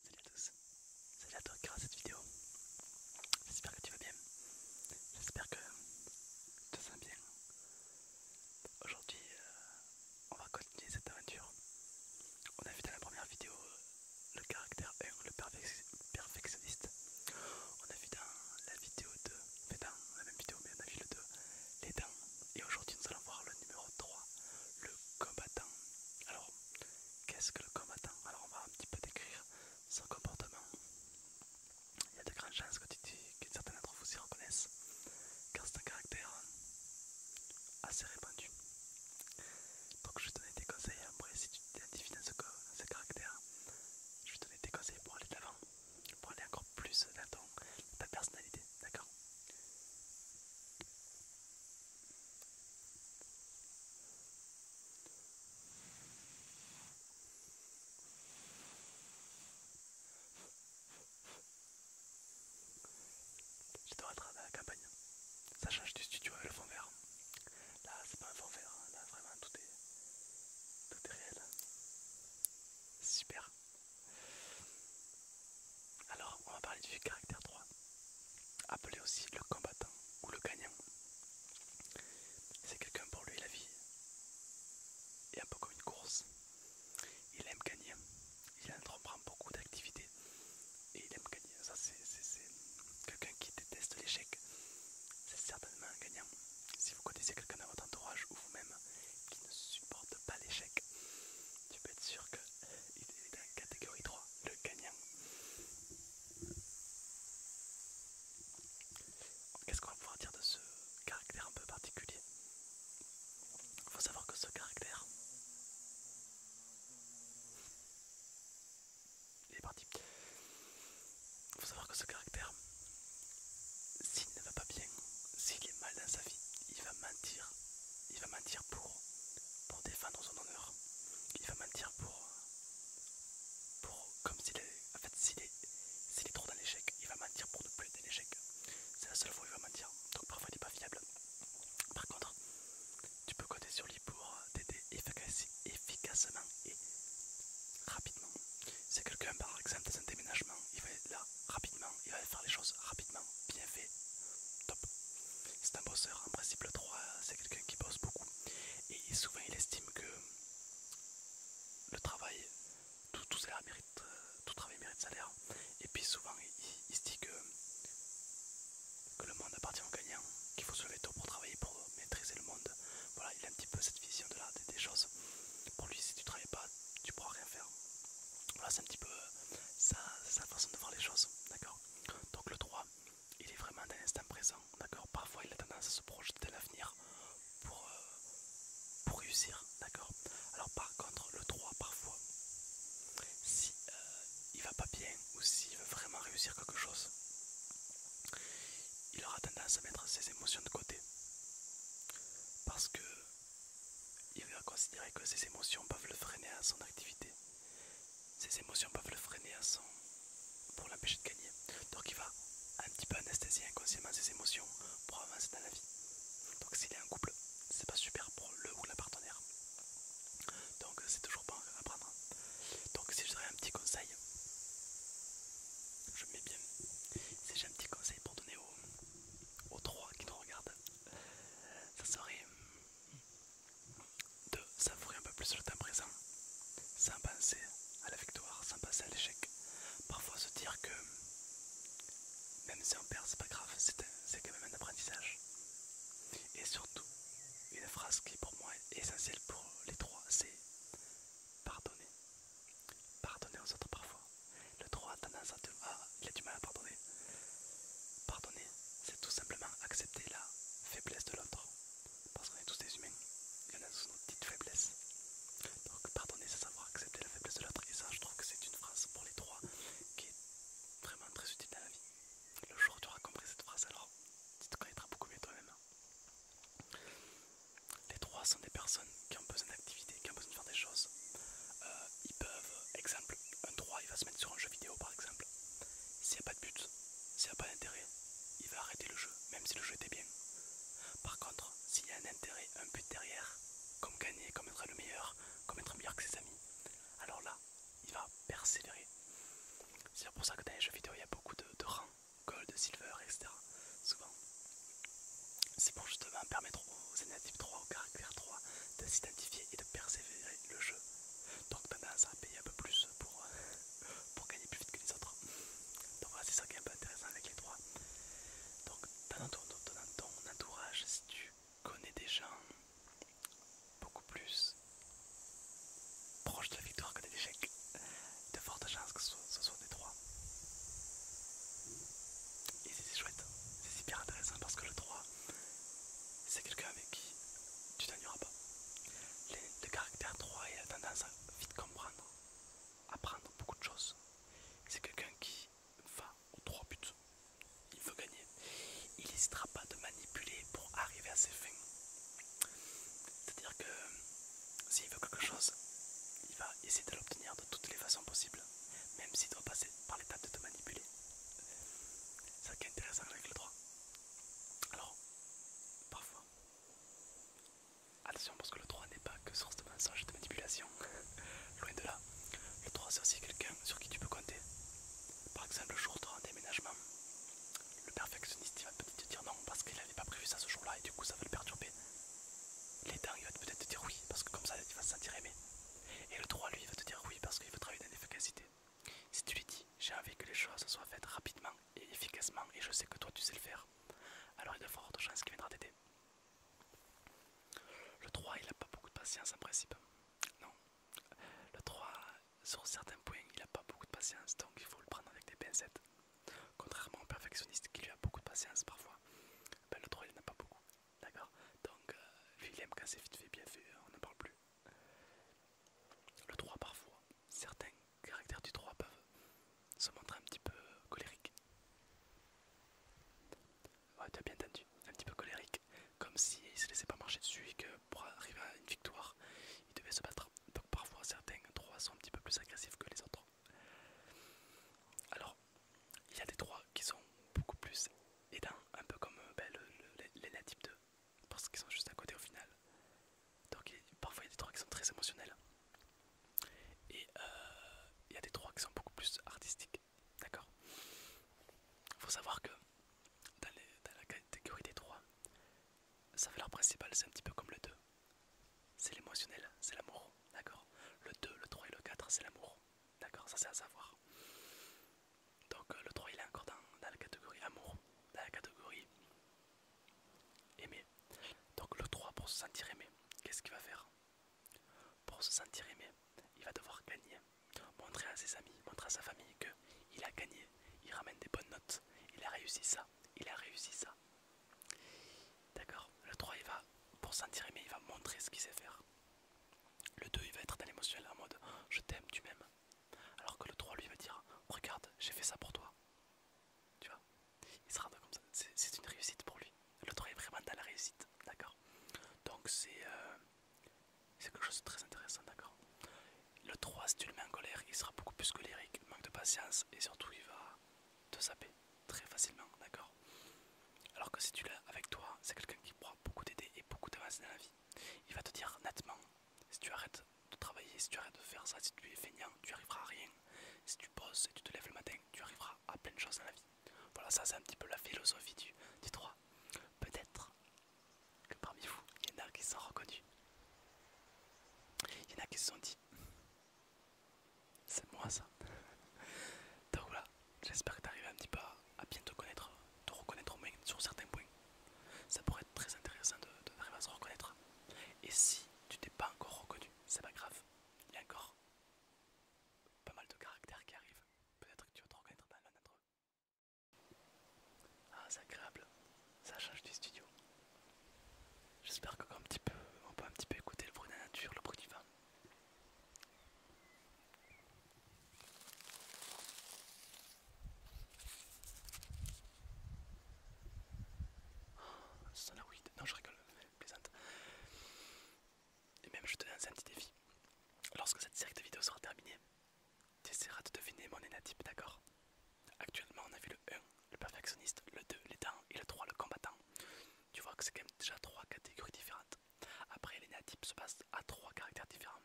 Salut à tous, salut à toi qui regarde cette vidéo. J'espère que tu vas bien, j'espère que tu te sens bien. Aujourd'hui, euh, on va continuer cette aventure. On a vu dans la première vidéo euh, le caractère 1, le perfectionniste. On a vu dans la vidéo 2, la vidéo, mais on a vu le 2, les dents. Et aujourd'hui, nous allons voir le numéro 3, le combattant. Alors, Qu'est-ce que le combattant Alors on va un petit peu décrire son comportement. Il y a de grandes chances que, certains d'entre vous s'y reconnaissent, car c'est un caractère assez répandu. Donc je vais te donner des conseils, après si tu t'identifies dans ce, caractère, je vais te donner des conseils pour aller de l'avant, pour aller encore plus dans, dans ta personnalité, d'accord dois être à la campagne. Ça change du studio avec le fond vert. Là, c'est pas un fond vert. Hein. Là, vraiment, tout est, tout est réel. Super. Alors, on va parler du caractère 3, appelé aussi le combattant ou le gagnant. C'est quelqu'un pour lui la vie est un peu comme une course. Il aime gagner, il entreprend beaucoup d'activités et il aime gagner. Ça, c'est quelqu'un qui déteste l'échec. C'est certainement un gagnant. Si vous connaissez quelqu'un dans votre entourage ou vous-même qui ne supporte pas l'échec, tu peux être sûr qu'il est la catégorie 3, le gagnant. Qu'est-ce qu'on va pouvoir dire de ce caractère un peu particulier Il faut savoir que ce caractère, il est parti. Il faut savoir que ce caractère, s'il ne va pas bien, s'il est mal dans sa vie, il va mentir il va mentir pour, pour défendre son honneur. Il va mentir pour, pour comme s'il est, en fait, s'il est, trop dans l'échec, il va mentir pour ne plus être dans l'échec. C'est la seule fois où il va mentir. Donc parfois il n'est pas fiable. Par contre, tu peux compter sur lui pour t'aider efficacement et rapidement. C'est quelqu'un par exemple dans un déménagement, il va être là rapidement, il va faire les choses rapidement, bien fait, top. C'est un bosseur, en principe le 3 c'est quelqu'un qui bosse beaucoup et souvent il estime que le travail, tout, mérite, euh, tout travail mérite salaire et puis souvent il, se dit que, que le monde appartient aux gagnants, qu'il faut se lever tôt pour travailler, pour maîtriser le monde. Voilà, il a un petit peu cette vision de des, choses. Pour lui si tu travailles pas, tu pourras rien faire. Voilà c'est un petit peu euh, sa façon de voir les choses, d'accord donc le 3, il est vraiment dans l'instant présent, d'accord Parfois il a tendance à se projeter dans l'avenir pour, euh, réussir, d'accord Alors par contre, le 3, parfois, si euh, il va pas bien ou s'il veut vraiment réussir quelque chose, il aura tendance à mettre ses émotions de côté. Parce que il va considérer que ses émotions peuvent le freiner à son activité. Ses émotions peuvent le freiner à son pour l'empêcher de gagner. Donc il va un petit peu anesthésier inconsciemment ses émotions pour avancer dans la vie. Donc s'il est en couple, c'est pas super pour le ou la partenaire. Donc c'est toujours pas à prendre. Donc si je un petit conseil, je mets bien. Si j'ai un petit conseil pour donner aux, aux trois qui nous regardent, ça serait hmm, de s'avouer un peu plus le temps présent, sans penser à la victoire, sans penser à l'échec. Parfois se dire que même si on perd, c'est pas grave, c'est quand même un apprentissage. Et surtout, une phrase qui pour moi est essentielle pour les trois, c'est pardonner. Pardonner aux autres parfois. Le trois a tendance à, ah, il a du mal à pardonner pardonner. c'est tout simplement accepter la faiblesse de l'autre. Parce qu'on est tous des humains, il y en a sous nos petites faiblesses. Donc pardonner, c'est savoir accepter la faiblesse de l'autre. Et ça, je trouve que c'est une phrase pour les trois qui est vraiment très utile dans la vie. Le jour où tu auras compris cette phrase, alors tu te connaîtras beaucoup mieux toi-même. Les trois sont des personnes qui ont besoin d'activité, qui ont besoin de faire des choses. Euh, ils peuvent, exemple, un trois, il va se mettre sur un jeu vidéo par exemple. S'il n'y a pas de but, s'il n'y a pas d'intérêt, il va arrêter le jeu, même si le jeu était bien. Par contre, s'il y a un intérêt, un but derrière, comme gagner, comme être le meilleur, comme être meilleur que ses amis, alors là, il va persévérer. C'est pour ça que dans les jeux vidéo, il y a beaucoup de, rangs, gold, silver, etc. Souvent. C'est pour justement permettre aux énigmes 3, aux caractères 3 de s'identifier et de persévérer le jeu donc tendance à payer un peu plus euh, pour, gagner plus vite que les autres. Donc voilà, c'est ça qui est un peu intéressant avec les trois. Donc dans ton, entourage, si tu connais des gens beaucoup plus proches de la victoire que des échecs, de fortes chances que ce soit, des trois. Et c'est chouette, c'est super intéressant parce que le trois c'est quelqu'un avec qui tu t'ennuieras pas. Le, caractère 3, et a tendance à vite comprendre, apprendre beaucoup de choses. C'est quelqu'un qui va aux trois buts. Il veut gagner. Il n'hésitera pas de manipuler pour arriver à ses fins. C'est-à-dire que s'il veut quelque chose, il va essayer de l'obtenir de toutes les façons possibles, même s'il doit passer par l'étape de te manipuler. C'est ça qui est intéressant avec le 3. Alors, parfois, attention parce que le 3 n'est pas que source de mensonges et de manipulation, loin de là. Le 3 c'est aussi quelqu'un sur qui tu peux compter. Par exemple, le jour de un déménagement, le perfectionniste il va peut-être te dire non parce qu'il n'avait pas prévu ça ce jour-là et du coup ça va le perturber. L'aidant il va peut-être te dire oui parce que comme ça il va se sentir aimé. Et le 3 lui il va te dire oui parce qu'il veut travailler dans l'efficacité. Si tu lui dis j'ai envie que les choses soient faites rapidement et efficacement et je sais que toi tu sais le faire, alors il y a de chance chances qu'il viendra t'aider. Le 3, il n'a pas beaucoup de patience en principe. Non. Le 3, sur certains points, il n'a pas beaucoup de patience, donc il faut le prendre avec des pincettes. Contrairement au perfectionniste qui lui a beaucoup de patience parfois, ben, le 3, il n'a pas beaucoup. D'accord Donc, euh, lui, il aime quand c'est vite fait, bien fait, on n'en parle plus. Le 3 parfois, certains caractères du 3 peuvent se montrer un petit peu colériques. Ouais, tu as bien entendu, un petit peu colérique, comme s'il ne se laissait pas marcher dessus et que pour arriver à une victoire, il devait se battre. Donc parfois certains 3 sont un petit peu plus agressifs que les autres. Alors, il y a des 3 qui sont beaucoup plus aidants, un peu comme euh, ben, les natifs de parce qu'ils sont juste à côté au final. Donc parfois il y a des trois qui sont très émotionnels et euh, il y a des trois qui sont beaucoup plus artistiques. D'accord Faut savoir que dans, la catégorie des trois, sa valeur principale c'est un petit peu comme le 2. C'est l'émotionnel, c'est l'amour. D'accord Le 2, le 3 et le 4 c'est l'amour. D'accord Ça c'est à savoir. Donc euh, le 3 il est encore dans, la catégorie amour, dans la catégorie aimer. Donc le 3 pour se sentir aimé, qu'est-ce qu'il va faire Pour se sentir aimé, il va devoir gagner, montrer à ses amis, montrer à sa famille que il a gagné, il ramène des bonnes notes, il a réussi ça, il a réussi ça. D'accord Le 3 il va pour se sentir aimé, il va montrer ce qu'il sait faire. Le 2 il va être dans l'émotionnel en mode je t'aime, tu m'aimes. Alors que le 3 lui va dire Regarde, j'ai fait ça pour toi. Tu vois Il sera comme ça. C'est une réussite pour lui. Le 3 est vraiment dans la réussite. D'accord Donc c'est euh, c'est quelque chose de très intéressant. D'accord Le 3, si tu le mets en colère, il sera beaucoup plus colérique, manque de patience et surtout il va te saper très facilement. D'accord alors que si tu l'as avec toi, c'est quelqu'un qui pourra beaucoup t'aider et beaucoup t'avancer dans la vie. Il va te dire nettement si tu arrêtes de travailler, si tu arrêtes de faire ça, si tu es feignant, tu arriveras à rien. Si tu poses et tu te lèves le matin, tu arriveras à plein de choses dans la vie. Voilà, ça c'est un petit peu la philosophie du, du droit. Peut-être que parmi vous, il y en a qui se sont reconnus. Il y en a qui se sont dit, c'est moi ça. Donc voilà, j'espère que tu un petit peu à bien te connaître, te reconnaître au moins sur certains points. Ça pourrait être très intéressant de, de à se reconnaître. Et si tu t'es pas encore reconnu, c'est pas grave. Il y a encore pas mal de caractères qui arrivent. Peut-être que tu vas te reconnaître dans l'un d'entre eux. Ah, c'est agréable. Ça change du studio. J'espère que un petit peu, on peut un petit peu écouter le bruit de la nature, le bruit du vent. Oh, ça Non, je rigole, plaisante. Et même, je te donne un petit défi. Lorsque cette série de vidéos sera terminée, tu essaieras de deviner mon énatype, d'accord Actuellement, on a vu le 1, le perfectionniste, le 2, l'étant et le 3, le combattant. Tu vois que c'est quand même déjà trois catégories différentes. Après, l'énatype se passe à trois caractères différents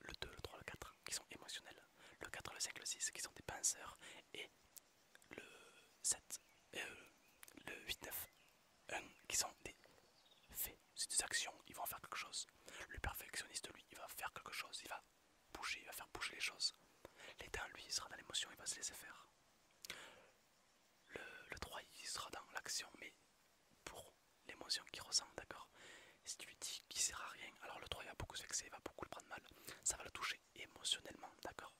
le 2, le 3, le 4 qui sont émotionnels, le 4, le 5, le 6 qui sont des penseurs et le 7, euh, le 8, 9, 1 qui sont des faits, c'est des actions, ils vont faire quelque chose. Le perfectionniste, lui, il va faire quelque chose, il va bouger, il va faire bouger les choses. L'état, lui, il sera dans l'émotion, il va se laisser faire. le 3, il sera dans l'action, mais pour l'émotion qu'il ressent, d'accord Si tu lui dis qu'il sert à rien, alors le 3 il va beaucoup se vexer, il va beaucoup le prendre mal, ça va le toucher émotionnellement, d'accord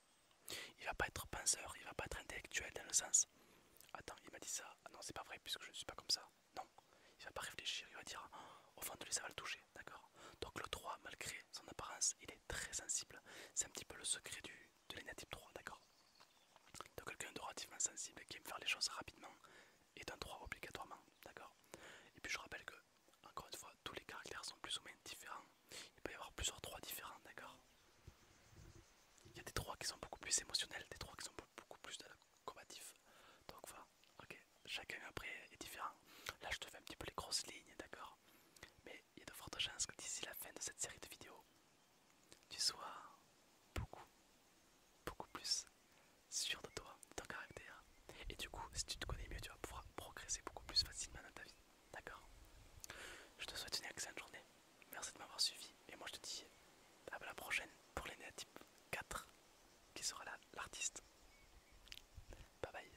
Il va pas être penseur, il va pas être intellectuel dans le sens. Attends, il m'a dit ça, ah non c'est pas vrai puisque je ne suis pas comme ça. Non, il va pas réfléchir, il va dire oh, au fond de lui ça va le toucher, d'accord Donc le 3, malgré son apparence, il est très sensible. C'est un petit peu le secret du, de natif 3, d'accord de quelqu'un de relativement sensible qui aime faire les choses rapidement, est un 3 obligatoirement, d'accord Et puis je rappelle que, encore une fois, tous les caractères sont plus ou moins différents. Il peut y avoir plusieurs trois différents, d'accord Il y a des trois qui sont beaucoup plus émotionnels, des trois qui sont beaucoup plus combatifs. Donc voilà, ok, chacun après est différent. Là je te fais un petit peu les grosses lignes, d'accord Mais il y a de fortes chances que d'ici la fin de cette série de vidéos, tu sois beaucoup, beaucoup plus sûr de toi, de ton caractère. Et du coup, si tu te connais mieux, tu vas pouvoir progresser beaucoup plus facilement dans ta vie. D'accord Je te souhaite une excellente journée. Merci de m'avoir suivi. Et moi, je te dis à la prochaine pour les type 4 qui sera là, l'artiste. Bye bye.